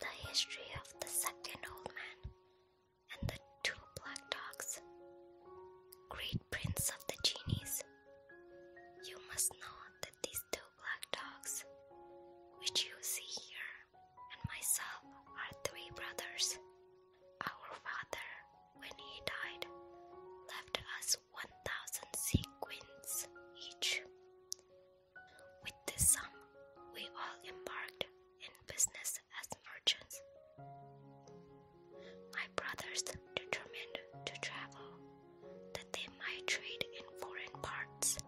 The history of the second old man and the two black dogs. Great prince of the genies, you must know that these two black dogs, which you see here, and myself are three brothers. Our father, when he died, left us 1,000 sequins each. With this sum, we all embarked in business as merchants. My brothers determined to travel, that they might trade in foreign parts.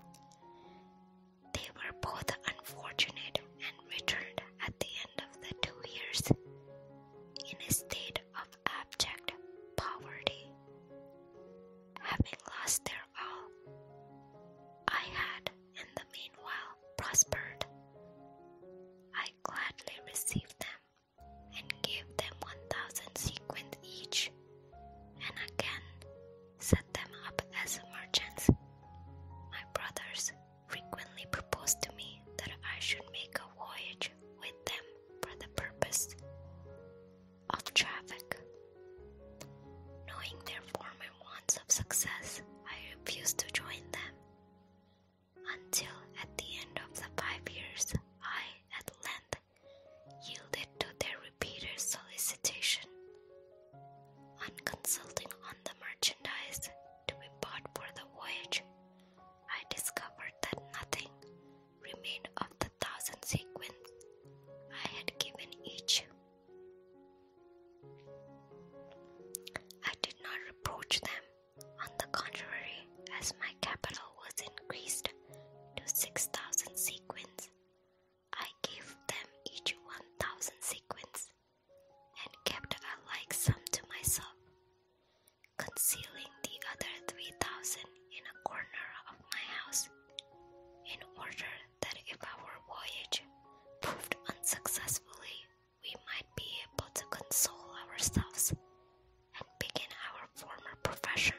They were both unfortunate and returned at the end of the two years in a state of abject poverty having lost their all. I had, in the meanwhile, prospered. I gladly received them and gave them one thousand sequins each, and again set them up as merchants. My brothers frequently proposed to me that I should make a voyage with them for the purpose of traffic. Knowing their former wants of success, I refused to join them until at the end of the five years I at length yielded to their repeated solicitation. On consulting on the merchandise to be bought for the voyage, I discovered that nothing remained of the thousand sequins I had given each. I did not reproach them, on the contrary, as my capital was increased to six thousand sequins. I gave them each one thousand sequins and kept a like sum to myself, concealing the other three thousand in a corner of my house in order that if our voyage proved unsuccessfully, we might be able to console ourselves and begin our former profession.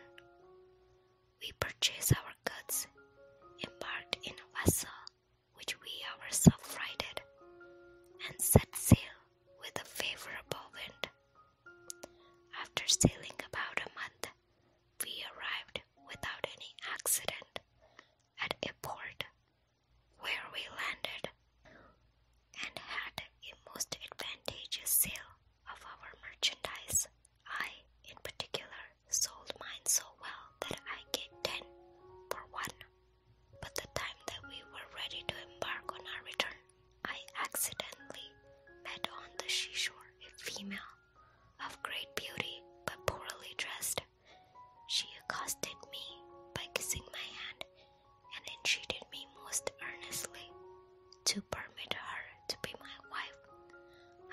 We purchased our goods, embarked in a vessel which we ourselves freighted, and set sail with a favorable wind after sailing about a month, we arrived without any accident at a port where we landed and had a most advantageous sale of our merchandise. I, in particular, sold mine so well that I gave ten for one. But the time that we were ready to embark on our return I accidentally met on the seashore a female of great beauty but poorly dressed. She accosted me by kissing my hand and entreated me most earnestly to permit her to be my wife.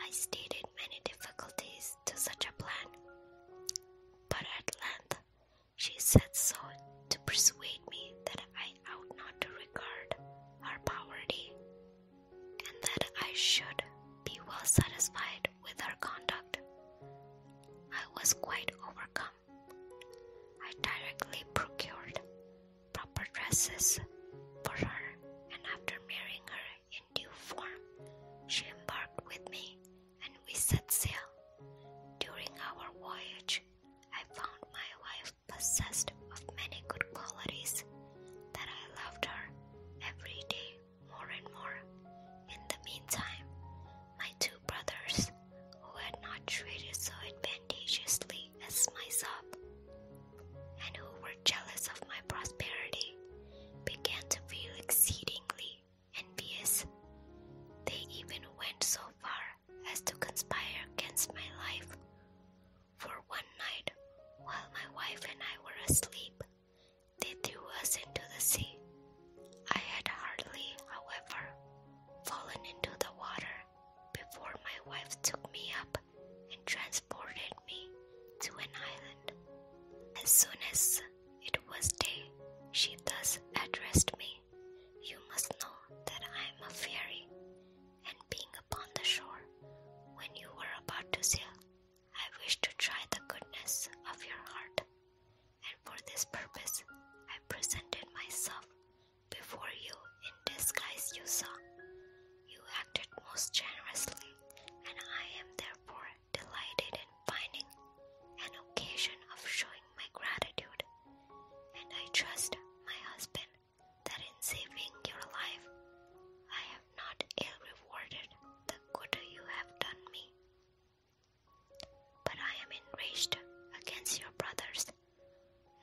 I stated many difficulties to such a plan, but at length she said so to persuade me that I ought not to regard our poverty, and that I should be well satisfied with her conduct. I was quite overcome. I directly procured proper dresses for her, and after marrying her in due form, she embarked with me and we set sail. During our voyage, I found my wife possessed of many good qualities, that I loved her every day more and more. In the meantime, my two brothers, who had not treated so advantageously as myself, and who were jealous of my prosperity, began to feel exceedingly envious. They even went so far as to conspire against my life. For one night, while my wife and I were asleep, they threw us into the sea. I had hardly, however, fallen into the water before my wife took me up and transported me to an island. As soon as it was day, she thus addressed me you must know that I am a fairy, and being upon the shore, when you were about to sail, I wished to try the goodness of your heart, and for this purpose I presented myself before you in disguise you saw. You acted most generously, and I am therefore delighted in finding an occasion of showing my gratitude, and I trust my husband that in saving your life, I have not ill rewarded the good you have done me. But I am enraged against your brothers,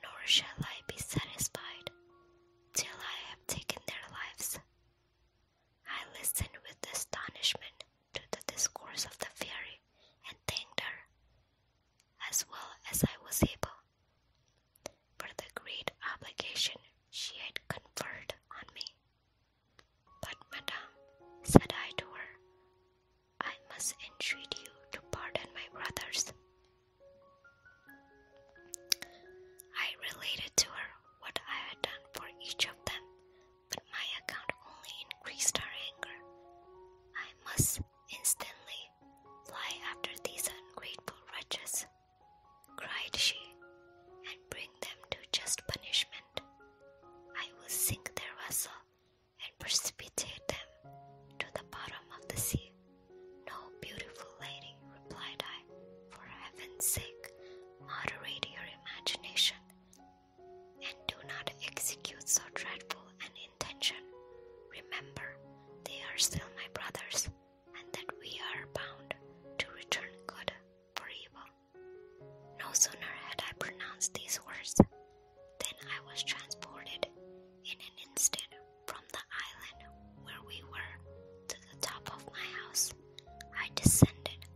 nor shall I be satisfied till I have taken their lives. I listened with astonishment to the discourse of the fairy, and thanked her as well as I was able for the great obligation she had conferred on me. But, madame, said I to her, I must entreat you to pardon my brothers. I related to her what I had done for each of them, but my account only increased her anger. I must instantly fly after these ungrateful wretches, cried she, and bring them to just punishment. I will sink their vessel and precipitate them to the bottom of the sea. No, beautiful lady, replied I, for heaven's sake, moderate your imagination and do not execute so dreadful an intention. Remember, they are still my brothers, and that we are bound to return good for evil. No sooner had I pronounced these words than I was transported in an instant from the island where we were to the top of my house. I descended,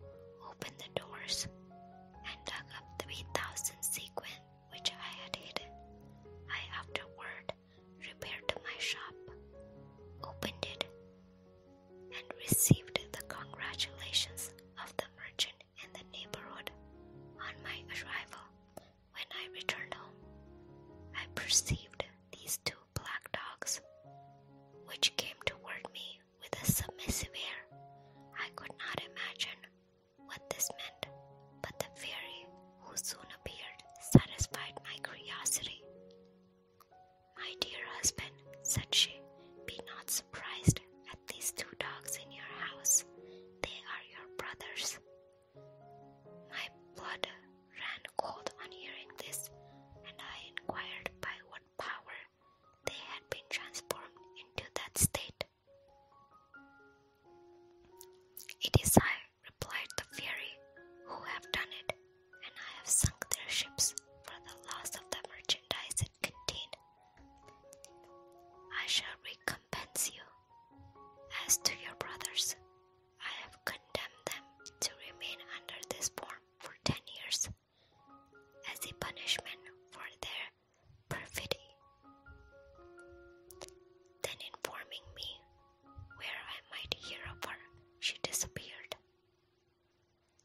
opened the doors, and dug up three thousand sequins which I had hidden. I afterward repaired to my shop, opened it, and received the congratulations of the merchant in the neighborhood on my arrival. When I returned home, I perceived these two black dogs, which came toward me with a submissive air. I could not imagine what this meant, but the fairy who soon appeared satisfied my curiosity. My dear husband, said she, be not surprised at these two dogs in your house. They are your brothers. My blood ran cold on hearing this, and I inquired by what power they had been transformed into that state. It is I, replied the fairy, who have done it, and I have sunk their ships for the loss of the merchandise it contained. I shall recompense you. As to your brothers, I have condemned them to remain under this form for ten years as a punishment for their perfidy, then informing me where I might hear of her, she disappeared.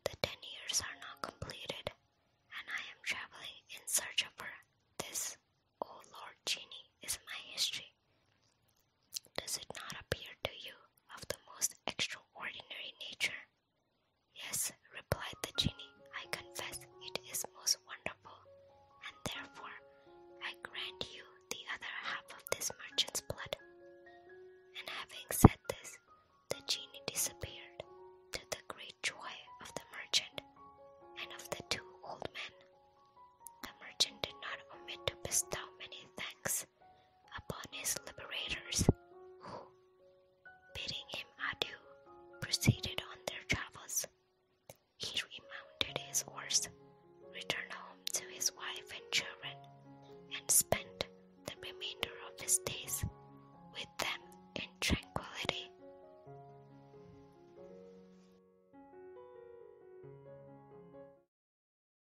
The ten years are not completed, and I am traveling in search of her. This, O Lord Genie, is my history. Does it not appear to you of the most extraordinary nature. Yes, replied the genie, I confess it is most wonderful, and therefore I grant you the other half of this merchant's blood. And having said this, the genie disappeared, to the great joy of the merchant and of the two old men. The merchant did not omit to bestow many thanks upon his liberators, who, bidding him adieu, proceeded on their travels. He remounted his horse, returned home to his wife and children, and spent the remainder of his days with them in tranquility.